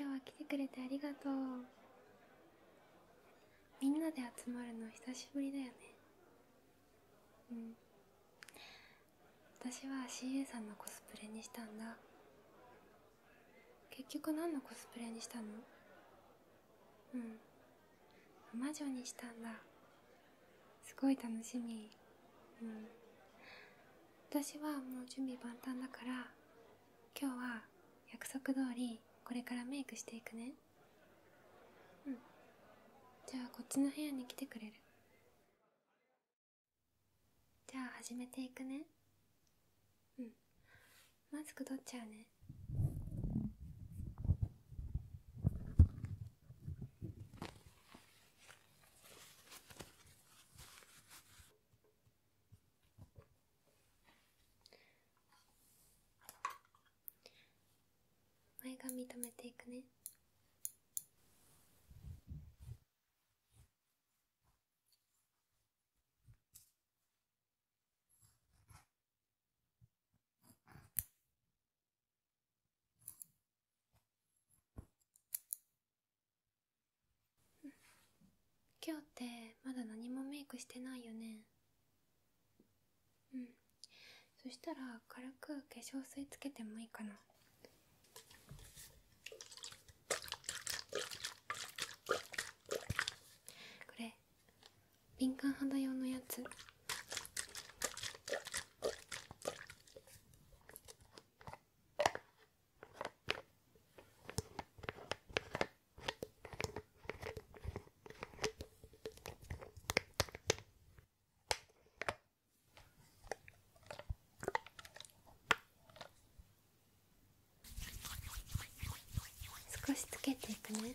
今日は来てくれてありがとうみんなで集まるの久しぶりだよねうん私は CA さんのコスプレにしたんだ結局何のコスプレにしたのうん魔女にしたんだすごい楽しみうん私はもう準備万端だから今日は約束通りこれからメイクしていくねうんじゃあこっちの部屋に来てくれるじゃあ始めていくねうんマスク取っちゃうねうん。前髪留めていくね今日ってまだ何もメイクしてないよねうんそしたら軽く化粧水つけてもいいかなこれ敏感肌用のやつ少しつけていくね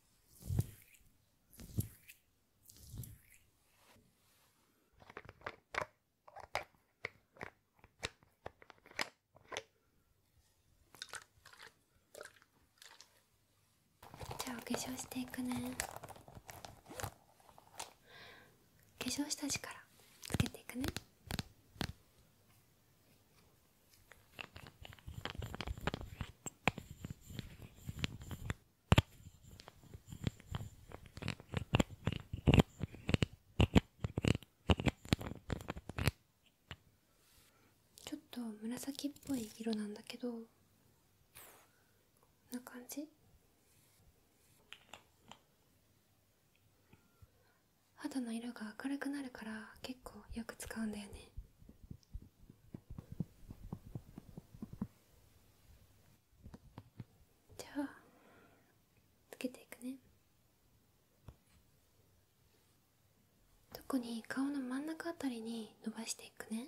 じゃあお化粧していくね化粧下地かつけていくねちょっと紫っぽい色なんだけどこんな感じ肌の色が明るくなるから結構よく使うんだよねじゃあつけていくね特に顔の真ん中あたりに伸ばしていくね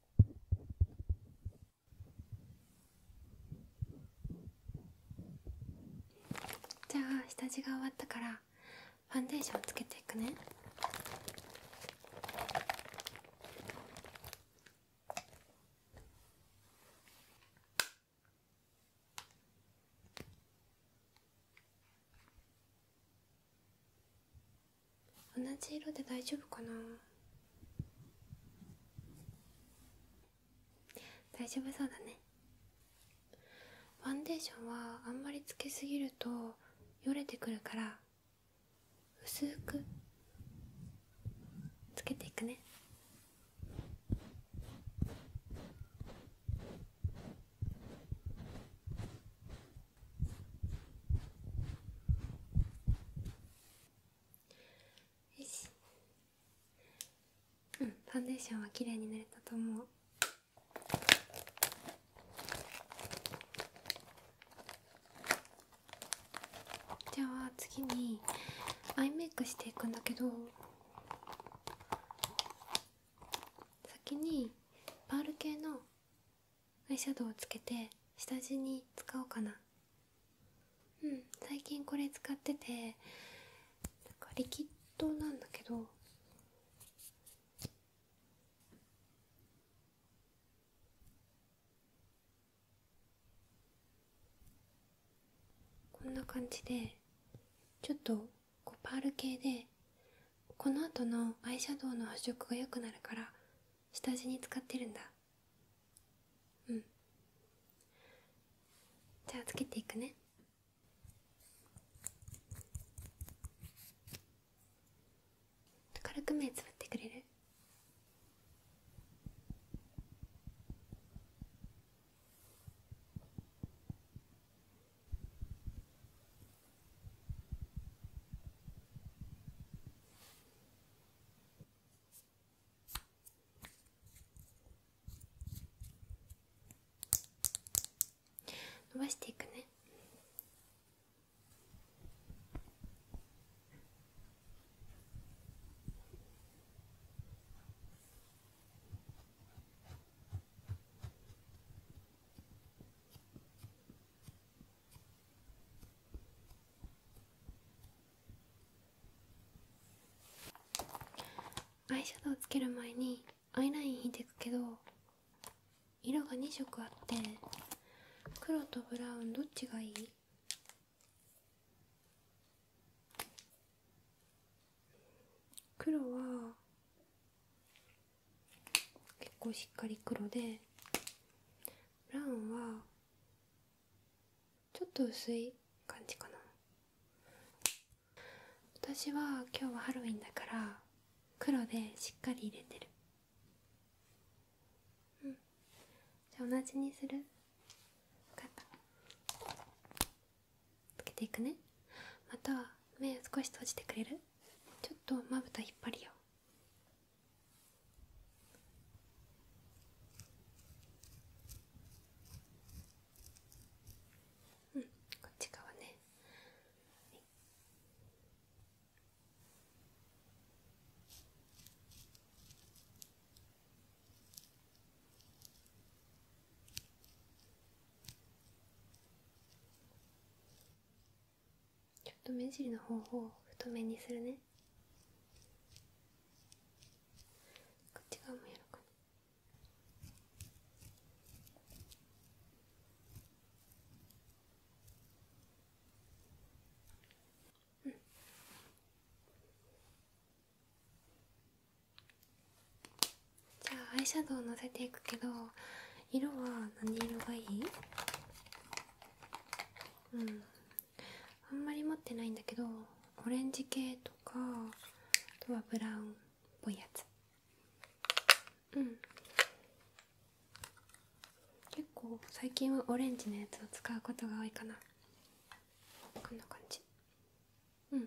じゃあ下地が終わったからファンデーションつけていくね同じ色で大丈夫かな大丈夫そうだねファンデーションはあんまりつけすぎるとよれてくるから薄くつけていくねよしうんファンデーションは綺麗に塗れたと思うじゃあ次にアイメイクしていくんだけど先にパール系のアイシャドウをつけて下地に使おうかなうん最近これ使っててなんかリキッドなんだけどこんな感じでちょっとこうパール系でこの後のアイシャドウの発色が良くなるから下地に使ってるんだうんじゃあつけていくね軽く目つぶってくれる伸ばしていくねアイシャドウつける前にアイライン引いていくけど色が2色あって黒とブラウンどっちがいい黒は結構しっかり黒でブラウンはちょっと薄い感じかな私は今日はハロウィンだから黒でしっかり入れてるうんじゃあ同じにする分かったつけていくねまた目少し閉じてくれるちょっとまぶた引っ張るようんこっち側ね、ちょっと目尻の方法を太めにするねこっち側もやろかじゃあアイシャドウをのせていくけど色は何色がいいうんあんまり持ってないんだけどオレンジ系とかあとはブラウンっぽいやつうん結構最近はオレンジのやつを使うことが多いかなこんな感じうんこ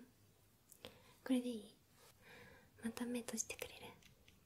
れでいいまた目閉じてくれる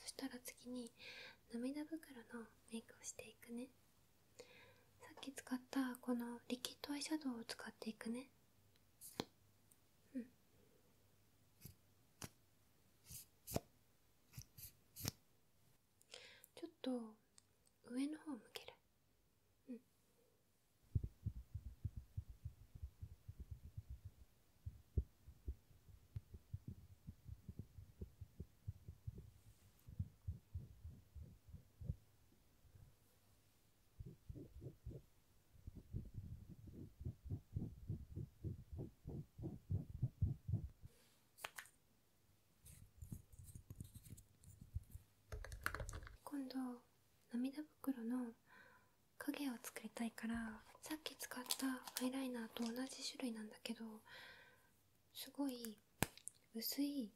そしたら次に涙袋のメイクをしていくねさっき使ったこのリキッドアイシャドウを使っていくねうんちょっと上の方向けるうん今度涙袋の影を作りたいからさっき使ったアイライナーと同じ種類なんだけどすごい薄い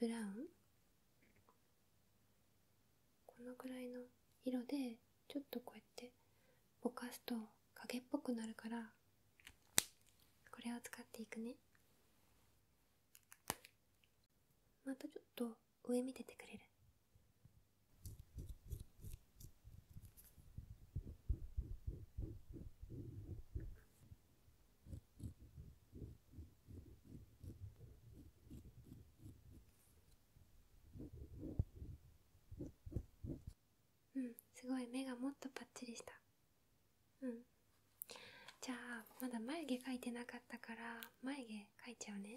ブラウンこのぐらいの色でちょっとこうやってぼかすと影っぽくなるからこれを使っていくねまたちょっと上見ててくれるうんすごい目がもっとぱっちりしたうんじゃあまだ眉毛描いてなかったから眉毛描いちゃうね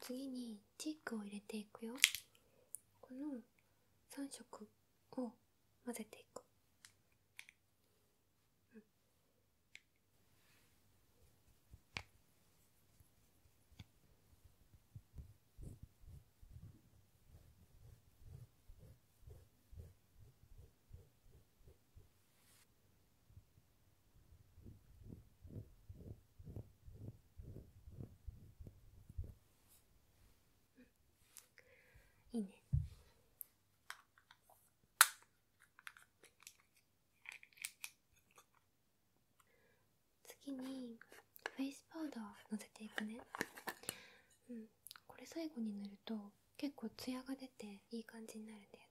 次にチークを入れていくよこの3色を混ぜていく、うん、いいね次にフェイスパウダーのせていくねうんこれ最後に塗ると結構ツヤが出ていい感じになるんだよね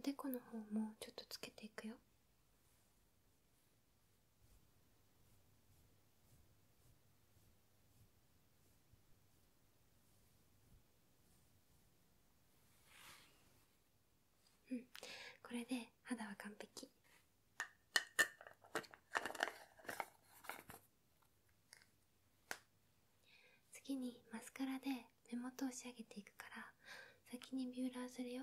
おでこのほうもちょっとつけていくようんこれで肌は完璧次にマスカラで目元を仕上げていくから先にビューラーするよ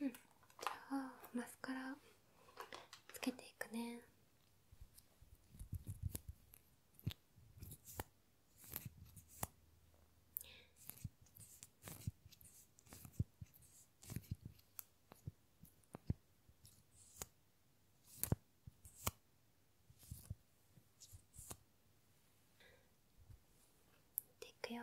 うんじゃあマスカラつけていくねっていくよ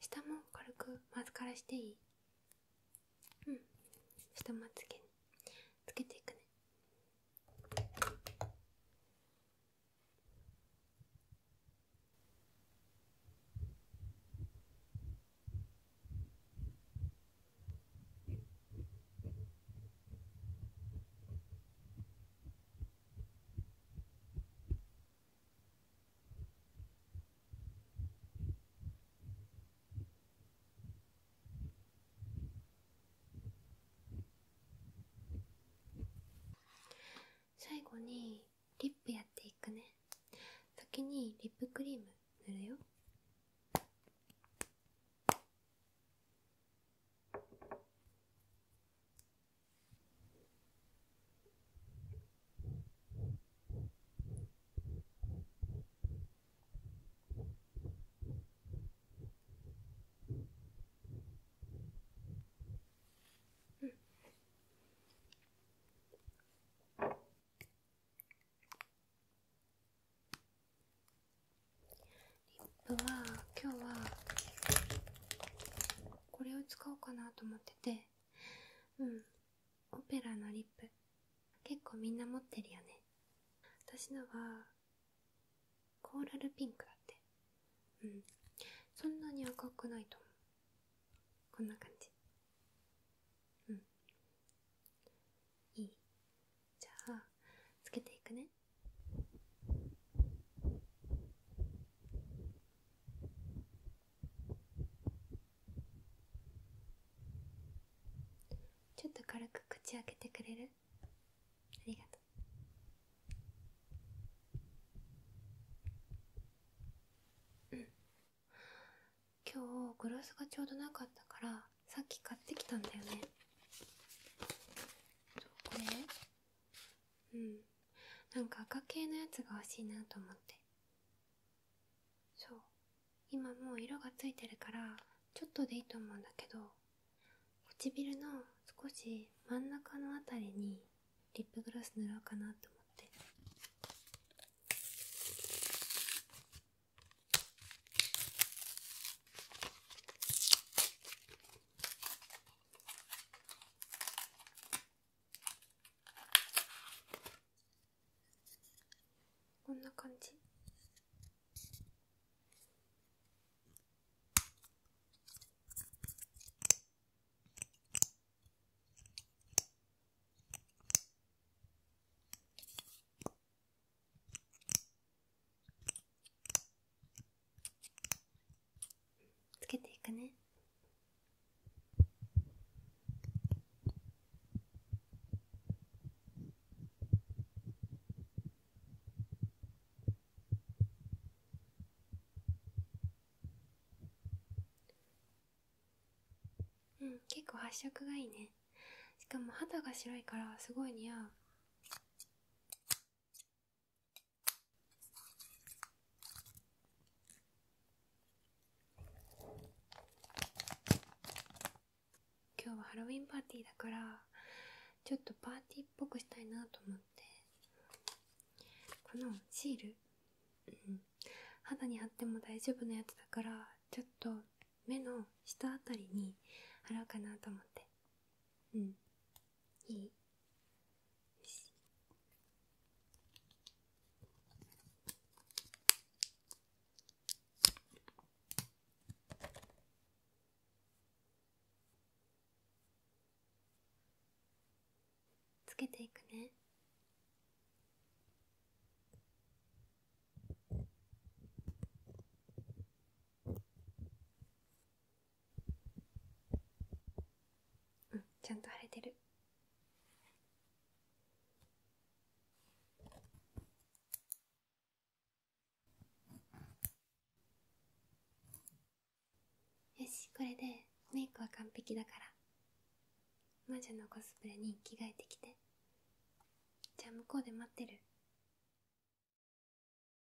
下も軽くマスカラしていいうん下もつげつけていくね最後にリップやっていくね先にリップクリーム塗るよリップは今日はこれを使おうかなと思っててうんオペラのリップ結構みんな持ってるよね私のはコーラルピンクだってうんそんなに赤くないと思うこんな感じうんいいじゃあつけていくねちょっと軽く口開けてくれるありがとううん今日グラスがちょうどなかったからさっき買ってきたんだよねそうこれうんなんか赤系のやつが欲しいなと思ってそう今もう色がついてるからちょっとでいいと思うんだけど唇の少し真ん中の辺りにリップグロス塗ろうかなと思ってこんな感じつけていくねうん結構発色がいいねしかも肌が白いからすごい似合う今日はハロウィンパーティーだからちょっとパーティーっぽくしたいなと思ってこのシール、肌に貼っても大丈夫なやつだからちょっと目の下あたりに貼ろうかなと思ってうんいいよしつけていくねうんちゃんと腫れてるよしこれでメイクは完璧だから魔女のコスプレに着替えてきてじゃあ向こうで待ってる